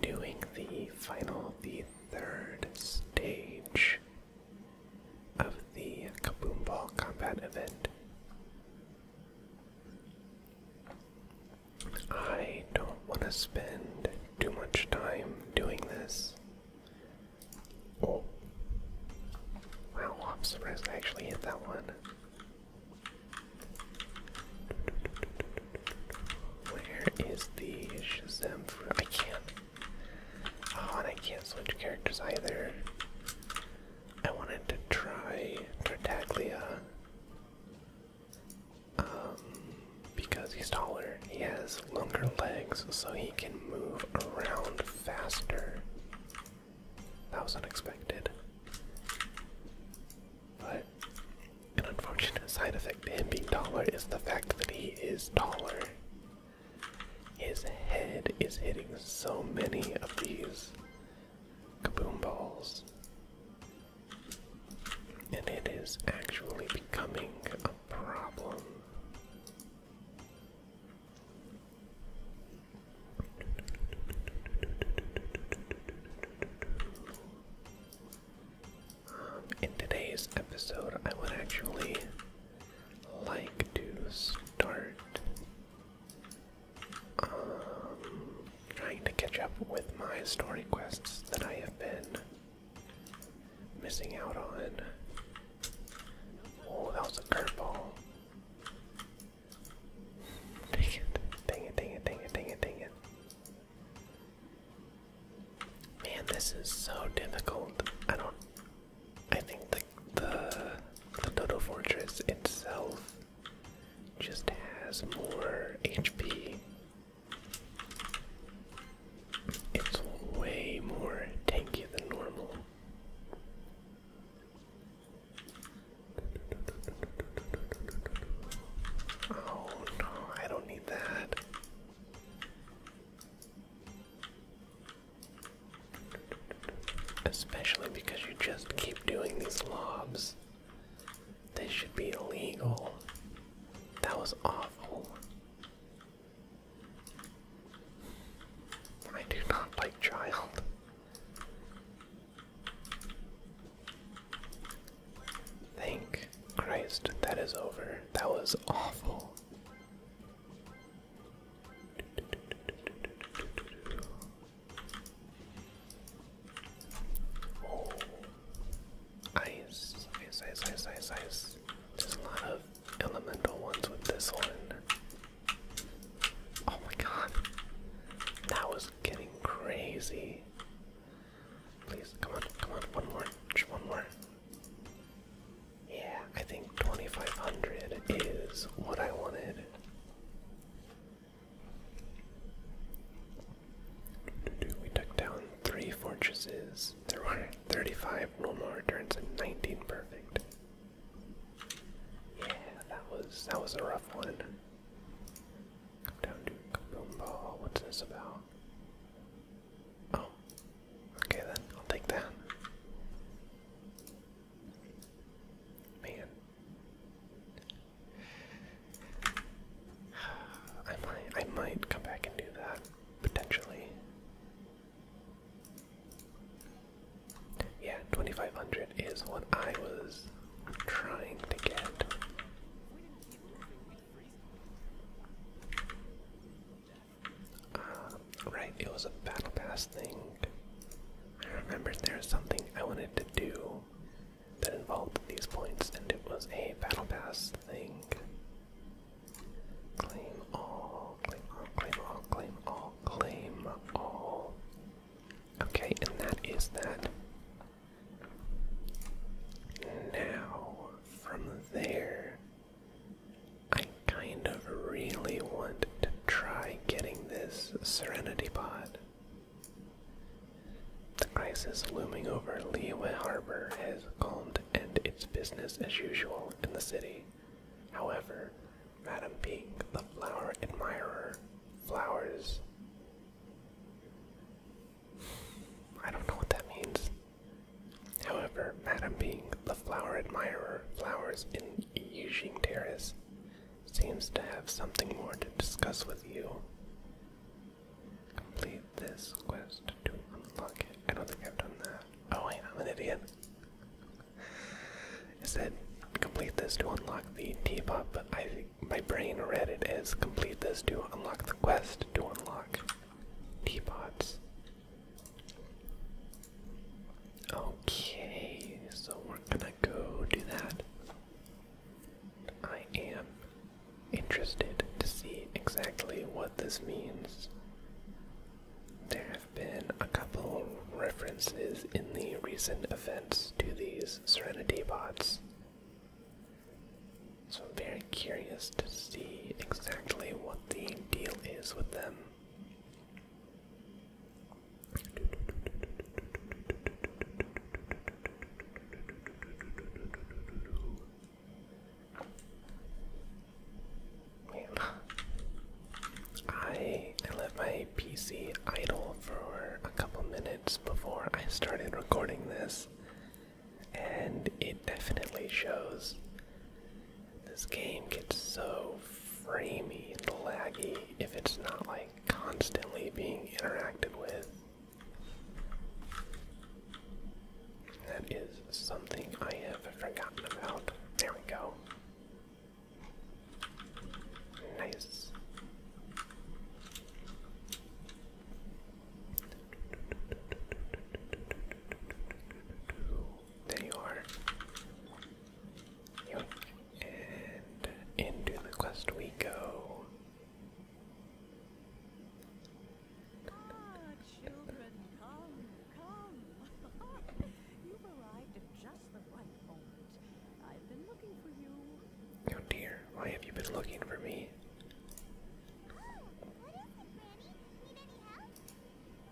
doing the final, the third stage of the Kaboom Ball combat event. I don't want to spend too much time doing this. Oh. Wow, I'm surprised I actually hit that one. Where is the Shazam fruit? I can't. Oh, and I can't switch characters either. I wanted to try Tartaglia. Um, because he's taller, he has longer legs, so he can move around faster. That was unexpected. But an unfortunate side effect to him being taller is the fact that he is taller. His head is hitting so many of these kaboom balls. And it is actually becoming a problem in today's episode, I would actually like to start um, trying to catch up with my story quests that I have been missing out on. Oh, that was a curveball. Dang it, dang it, dang it, dang it, dang it, dang it. Man, this is so difficult. I don't I think the the the Dodo Fortress itself just has more HP. It's way more tanky than normal. Oh no, I don't need that. Especially because you just keep doing these lobs. This should be illegal. That was awful. I do not like child. Thank Christ that is over. That was awful. Oh, ice, ice, ice, ice, ice, ice. There's a lot of elemental ones with this one. Oh my god. That was getting crazy. Please, come on, come on, one more, one more. Yeah, I think 2500 is what I wanted. We took down three fortresses. There were 35 normal returns and 19 perfect. Yeah, that was that was a rough one down to Kaboomba. What's this about? Oh. Okay then, I'll take that. Man. I might I might come back and do that, potentially. Yeah, 2500 is what I was trying to get. Uh, right, it was a battle pass thing. I remember there was something I wanted to do that involved these points, and it was a battle pass thing. Claim all, claim all, claim all, claim all, claim all. Okay, and that is that. Now, from there, I kind of really want to try getting this Serenity Pod. The crisis looming over Liyue Harbor has calmed and it's business as usual in the city. However, Madam Pink, the flower admirer, flowers I don't know what that means. However, Madame being the flower admirer, flowers in Yixing Terrace seems to have something more to discuss with you. Complete this quest to unlock I don't think I've done that. Oh wait, I'm an idiot. It said complete this to unlock the teapot, but I my brain read it as complete this to unlock the quest to unlock teapots. Okay, so we're gonna go do that. I am interested to see exactly what this means. There have been a couple references in the recent events to these Serenity bots. So I'm very curious to see exactly what the deal is with them. I let my PC idle for a couple minutes before I started recording this, and it definitely shows. This game gets so framey and laggy if it's not like constantly being interactive with. That is something I have forgotten about. There we go. Nice. There you are. And into the quest we go. Ah, children, come, come. You've arrived at just the right moment. I've been looking for you. Oh dear, why have you been looking for me?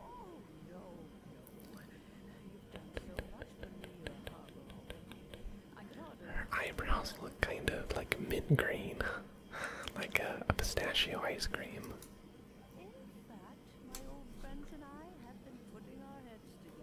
Oh, Her eyebrows look kind of like mint green, like a, pistachio ice cream.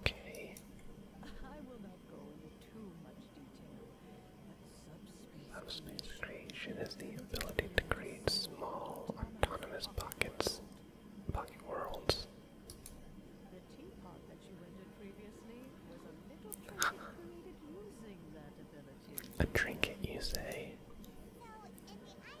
Okay. I will creation is the ability to create small, autonomous pockets, pocket worlds. teapot that you rendered previously was a little trinket you say?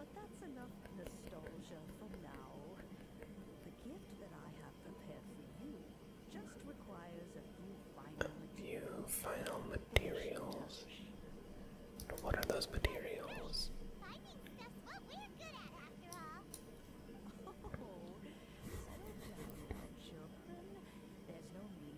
nostalgia for now. The gift that I have prepared for you just requires a few final materials. What are those materials? Finding stuff's what we're good at after all. Oh, settle down, children. There's no need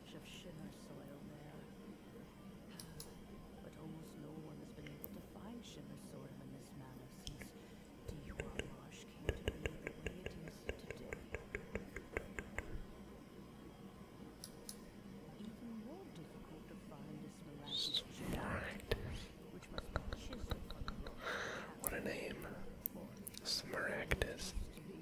patch of shimmer soil there. But almost no one has been able to find shimmer soil in this manner since Dehuawash came to be the way it is today. What a name. Smaragdus.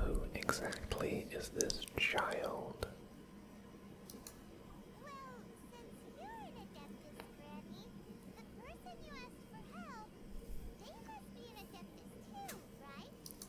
Who exactly is this child? Well, since you're an adeptus, Granny, the person you asked for help, they must be an adeptus too, right?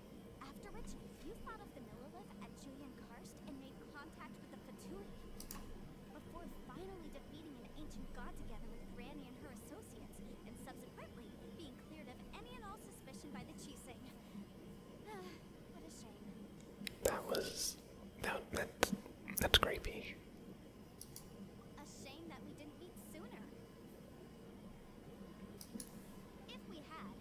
After which, you thought of the Millilith at Julian Karst and made contact with the Fatui. Before finally defeating an ancient god together with Granny and her associates, and subsequently being cleared of any and all suspicion by the Chising. what a shame. That was that that's creepy. A shame that we didn't meet sooner. If we had,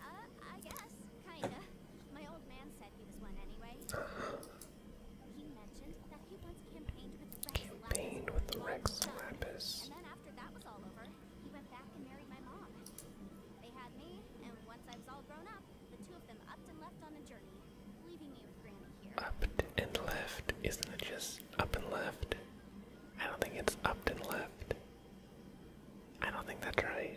Uh, I guess, kinda. My old man said he was one anyway. He mentioned that he once campaigned with Rex Lapis And then after that was all over, he went back and married my mom. They had me, and once I was all grown up, the two of them upped and left on a journey, leaving me with Granny here. Upped and left? Isn't it just up and left? I don't think it's upped and left. I don't think that's right.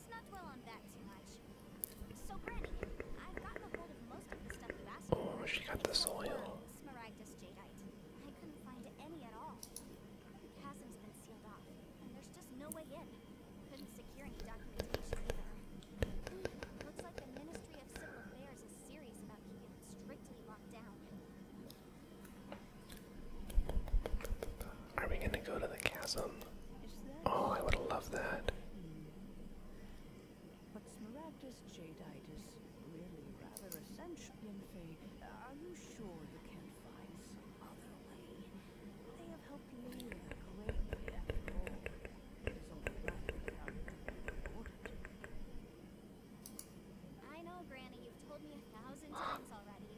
Let's not dwell on that too much. Oh, she got the soil. Smaragdus jadeite. I couldn't find any at all. The chasm's been sealed off, and there's just no way in. Couldn't secure any documentation either. Hmm, looks like the Ministry of Civil Affairs is serious about keeping it strictly locked down. Are we gonna go to the chasm? Oh, I would love that. Smaragdus jadeite really rather essential, Are you sure you can't find some other way? I know, Granny, you've told me a thousand times already.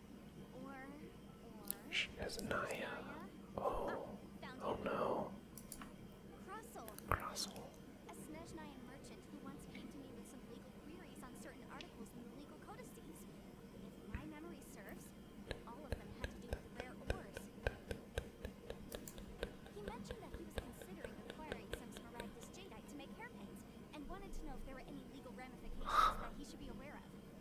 She Oh, oh no. Crossel. A Snezhnyan merchant who once came to me with some legal queries on certain articles in the legal codices. If my memory serves, all of them had to do with rare ores. He mentioned that he was considering acquiring some Smaragdus Jadeite to make hairpins and wanted to know if there were any legal ramifications that he should be aware of.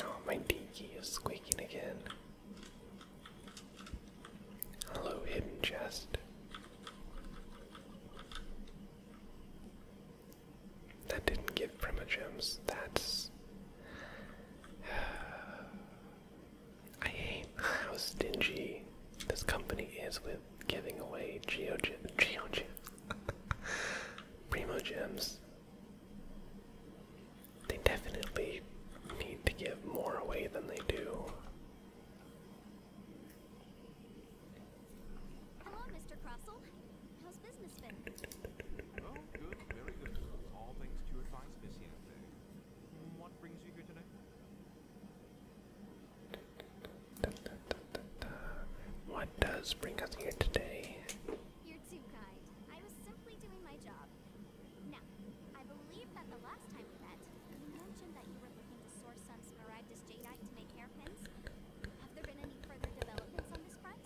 Oh, my D key is squeaking again. Hello, hidden chest. That didn't give Prima That's. I hate how stingy this company is with giving away Geo Gem, Geo Gem, Primo Gems. They definitely need to give more away than they do. Hello, Mr. Crossell. How's business been? Oh, good, very good. All things to your advice, Miss Yanfei. What brings you here today? What does bring us here today? You're too kind. I was simply doing my job. Now, I believe that the last time we met, you mentioned that you were looking to source some smaragdus jadeite to make hairpins. Have there been any further developments on this front?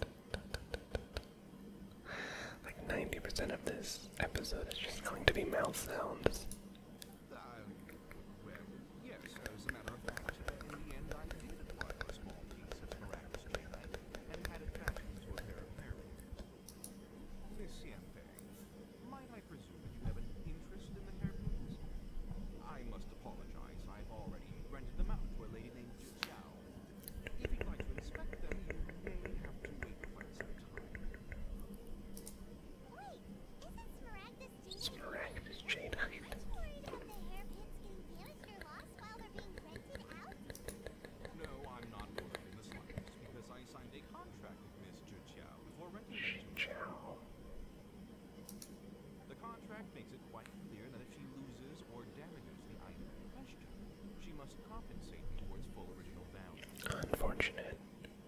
Like 90% of this episode is just going to be mouth sounds. Yes, as a a a matter of of of fact, in in the the end I I I I small piece and pair might presume that you you'd you have have have an interest must apologize, already them them, out to to to Lady If like inspect Wait, isn't Smaragda miraculous chain height. because I signed a contract with Mr. Chow before renting Chow. The contract makes it quite clear that if she loses or damages the item in question, she must compensate for its full original value. Unfortunate.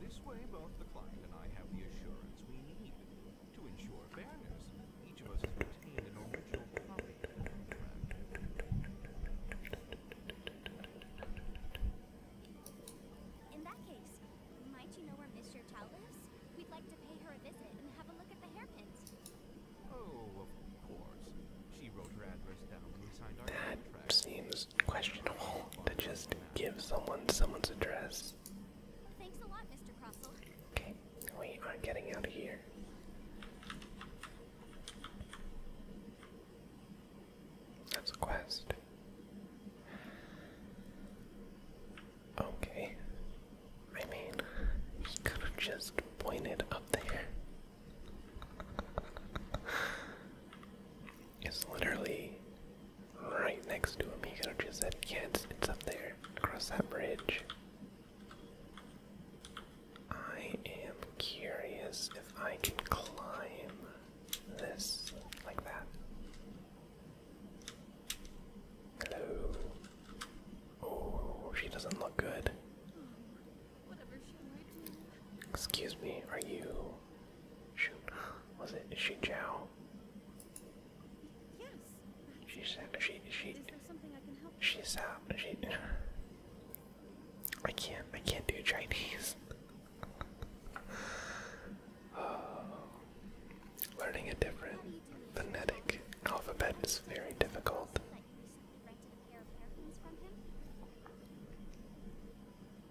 This way, both the client and I have the assurance we need to ensure fairness. Each of us has retained an original copy In that case, might you know where Miss Chow We'd like to pay her a visit and have a look at the hairpins. Oh, of course. She wrote her address down when we signed our that Seems questionable to just give someone someone's address. Thanks a lot, Mr. Crossell. Okay, we are getting out of here. That's a quest. Okay. I mean, he could have just pointed up there is literally right next to him. He could have just said, yeah, it's, it's up there, across that bridge. I am curious if I can climb this like that. Hello. Oh, she doesn't look good. Excuse me, are you Shoot, was it? Is she Zhao? Yes. She's she she. She's out. Um, she. I can't. I can't do Chinese. uh, learning a different phonetic alphabet is very difficult.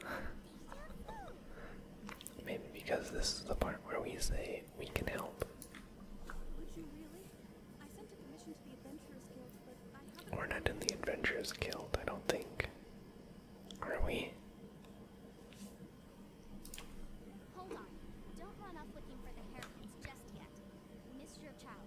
Maybe because this is the part where we say we can help. We're not in the Adventurers Guild, I don't think. Are we? Hold on. Don't run off looking for the haircuts just yet. Miss your child.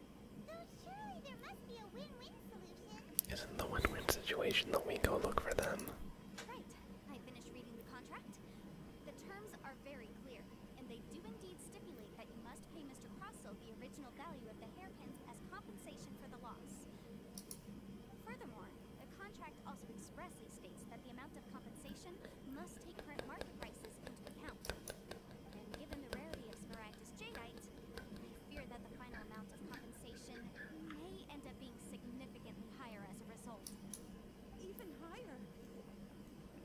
Isn't the win-win situation that we go look for them? Right. I finished reading the contract. The terms are very clear, and they do indeed stipulate that you must pay Mr. Crossell the original value of the hairpins as compensation for the loss. Furthermore, the contract also expressly states that the amount of compensation must take current market prices into account given the rarity of Smaragdus jadeite, we fear that the final amount of compensation may end up being significantly higher as a result. Even higher?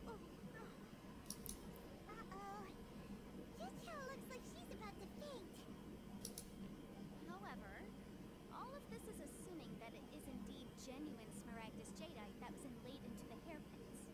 Uh-oh. Yuchou looks like she's about to faint. However, all of this is assuming that it is indeed genuine Smaragdus jadeite that was inlaid into the hairpins.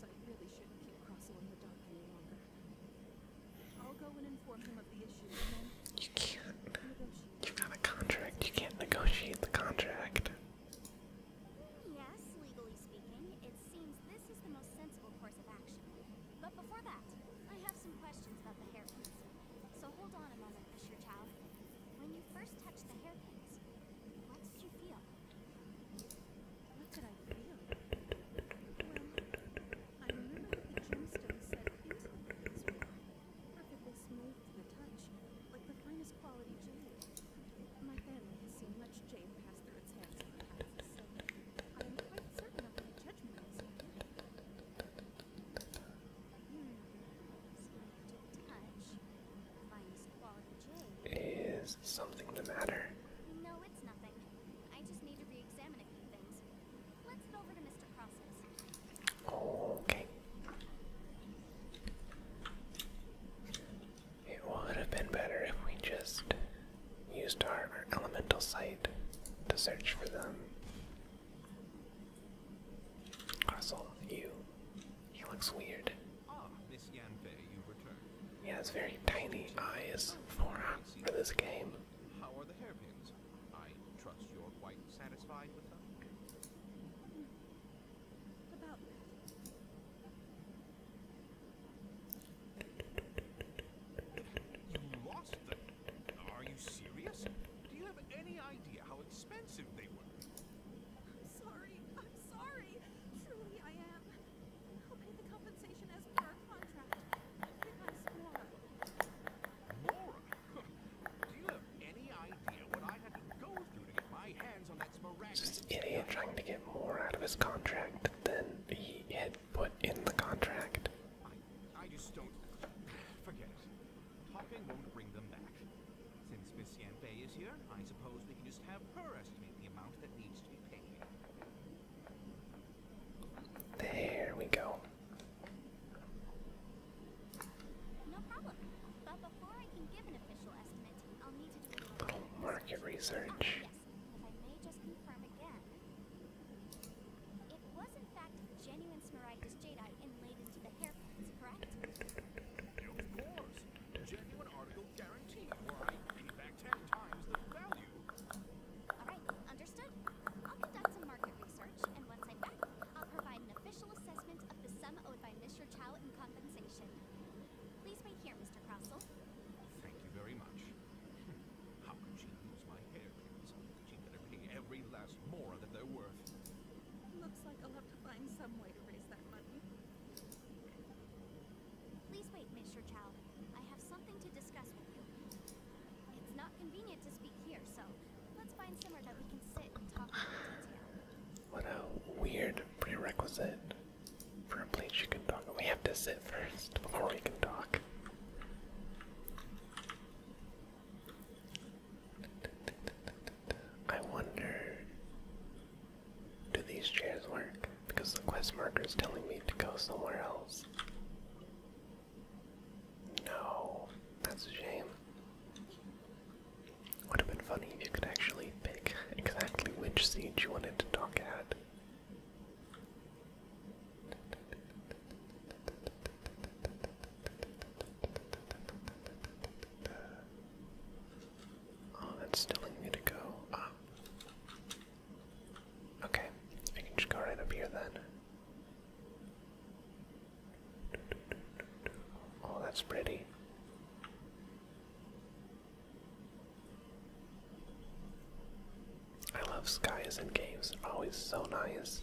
I really shouldn't keep Crossel the dark any longer. I'll go and inform him of the issue You can't You've got a contract, you can't negotiate the contract. Yes, legally speaking, it seems this is the most sensible course of action. But before that, I have some questions about the hair So hold on a moment, Mr. Chow. When you first touched the hairpins, what did you feel? What did I feel? I remember the gemstone set into the perfectly smooth to the touch, like the finest quality jewelry. My family has seen much jade pass through its hands in the past, so I'm quite certain of my judgment is something the matter? No, it's nothing. I just need to re a few things. Let's get over to Mr. Cross's. Okay. It would have been better if we just used our, our elemental sight to search for them. Russell, you. He looks weird. Ah, Miss Yanfei, you return. He has very tiny eyes for, uh, for this game. How are the hairpins? I trust you're quite satisfied with them. Are you serious? Do you have any idea how expensive they were? I'm sorry. I'm sorry. Truly, I am. I'll pay the compensation as per our contract. Goodbye, Mora. Mora? Do you have any idea I had to go through to get my hands on that sporadic? Just idiot trying to get more out of his contract than he had put in the contract. I just don't... Forget it. Hopping won't bring them back. Since Miss Yanfei is here, I suppose we can just have her estimate the amount that needs to be paid. There we go. little market research. Ah, it was in fact genuine Smaragdus Jedi inlaid into the Genuine article guaranteed, or I ten times the value. Alright, understood. I'll conduct some market research, and once I'm back, I'll provide an official assessment of the sum owed by Mr. Chow in compensation. Please wait here, Mr. Crossell. Thank you very much. How could she lose my hairpins? She better pay every last more that they're worth. Looks like I'll have to find some way to raise that money. Please wait, Mr. Chow. I have something to discuss with you. It's not convenient to speak here, so let's find somewhere that we can sit and What a weird prerequisite for a place you can talk. We have to sit first before we can talk. I wonder, do these chairs work? Because the quest marker is telling me to go somewhere else. No, that's a shame. Would have been funny if you could actually pick exactly which siege you wanted to talk at. Oh, that's telling me to go up. Um, okay, I can just go right up here then. Oh, that's pretty. I love skies and caves, always so nice.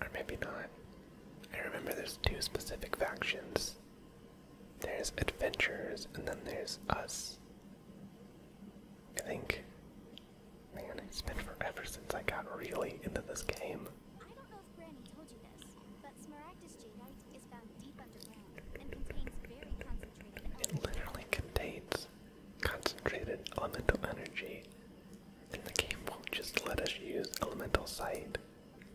Or maybe not. I remember there's two specific factions. There's adventurers and then there's us. I think man, it's been forever since I got really into this game. It literally contains concentrated elemental energy and the game won't just let us use elemental sight.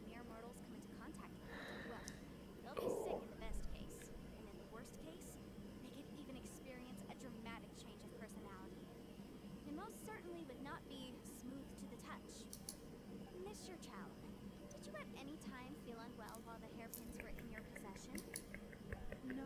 Mere mortals come into contact with well, they'll be sick in the oh. best case, and in the worst case, they could even experience a dramatic change of personality. It most certainly would not be smooth to the touch. Mr. your child. Did you at any time feel unwell while the hairpins were in your possession? No,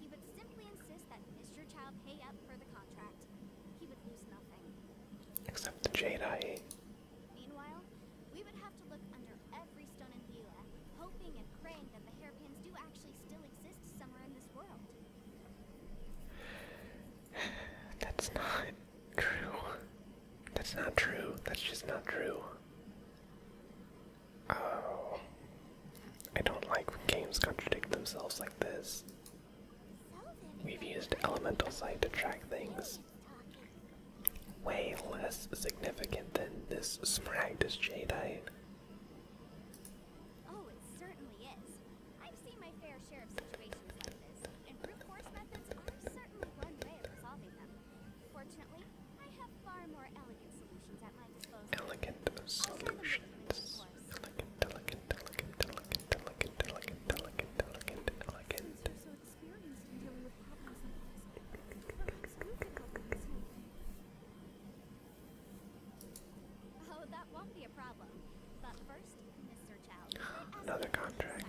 He would simply insist that Mr. Chow pay up for the contract. He would lose nothing. Except the Jedi. Meanwhile, we would have to look under every stone in the Hela, hoping and praying that the hairpins do actually still exist somewhere in this world. That's not true. That's not true. That's just not true. Oh. I don't like when games contradict themselves like this. We've used elemental sight to track things. Way less significant than this Spragdus jadeite. Oh, it certainly is. I've seen my fair share of situations like this, and brute force methods are certainly one way of resolving them. Fortunately, Elegant solutions. Elegant, elegant, elegant, elegant, elegant, elegant, elegant, elegant, elegant. Oh, Another contract.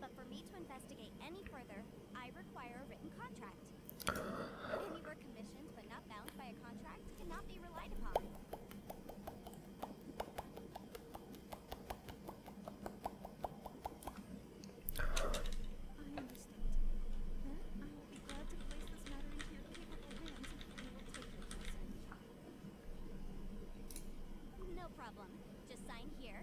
But for me to investigate any further, I require a written contract. Any work commissioned but not bound by a contract cannot be relied upon. I understand. I will be glad to place this matter into capable hands and you will take your No problem. Just sign here.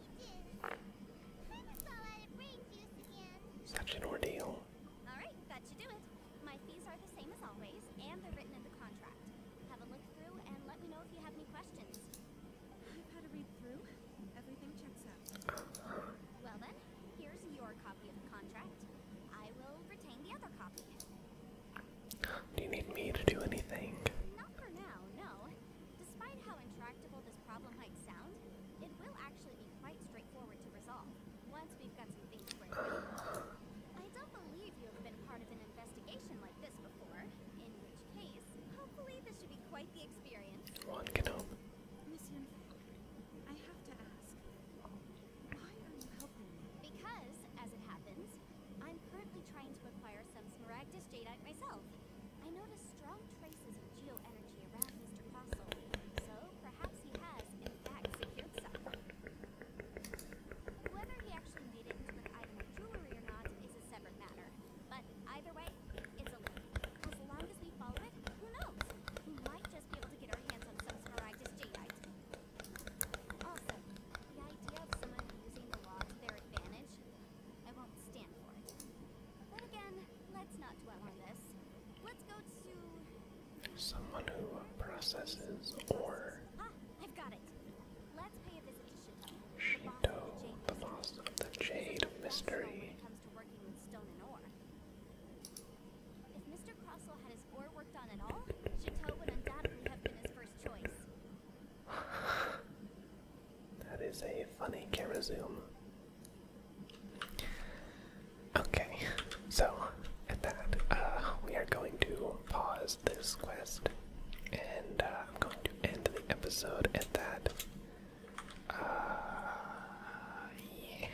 Such an ordeal. Alright, that should do My fees are the same as always, and they're written in the contract. Have a look through and let me know if you have any questions. I've had a read through. Everything checks out. Well then, here's your copy of the contract. I will retain the other copy. Do you need me to do anything? Not for now, no. Despite how intractable this problem might sound, it will actually be quite straightforward to resolve once we've got some things straightened out. I don't believe you have been part of an investigation like this before, in which case, hopefully this should be quite the experience. One can hope. Miss Yunfei, I have to ask, why are you helping me? Because, as it happens, I'm currently trying to acquire some Smaragdus Jadeite myself. I noticed strong traces of geo-energy around Mr. Fossil, so perhaps he has, in fact, secured some. Whether he actually made it into an item of jewelry or not is a separate matter, but either way, it's a loop. As long as we follow it, who knows? We might just be able to get our hands on some sporadic jadeite. Also, the idea of someone using the law to their advantage I won't stand for it. But again, let's not dwell on this. Let's go to someone who processes or ah, I've got it. Let's pay a visit to Shito. the boss of the Jade Mystery. If Mr. Crossell had his ore worked on at all, Chateau would undoubtedly have been his first choice. That is a funny camera Okay, so at that, uh, we are going to pause this quest, and uh, I'm going to end the episode at that. Uh, yeah.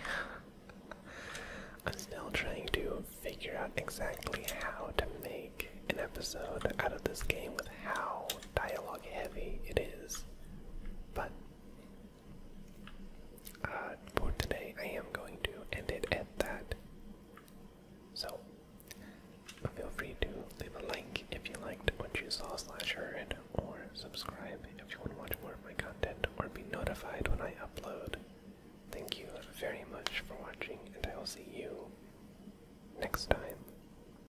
I'm still trying to figure out exactly how to make an episode out of this game with how dialogue heavy it is, but uh, for today I am going to end it at that. So feel free to leave a like if you liked what you saw slash heard, or subscribe if you want to watch more of my content or be notified when I upload. Thank you very much for watching, and I will see you next time.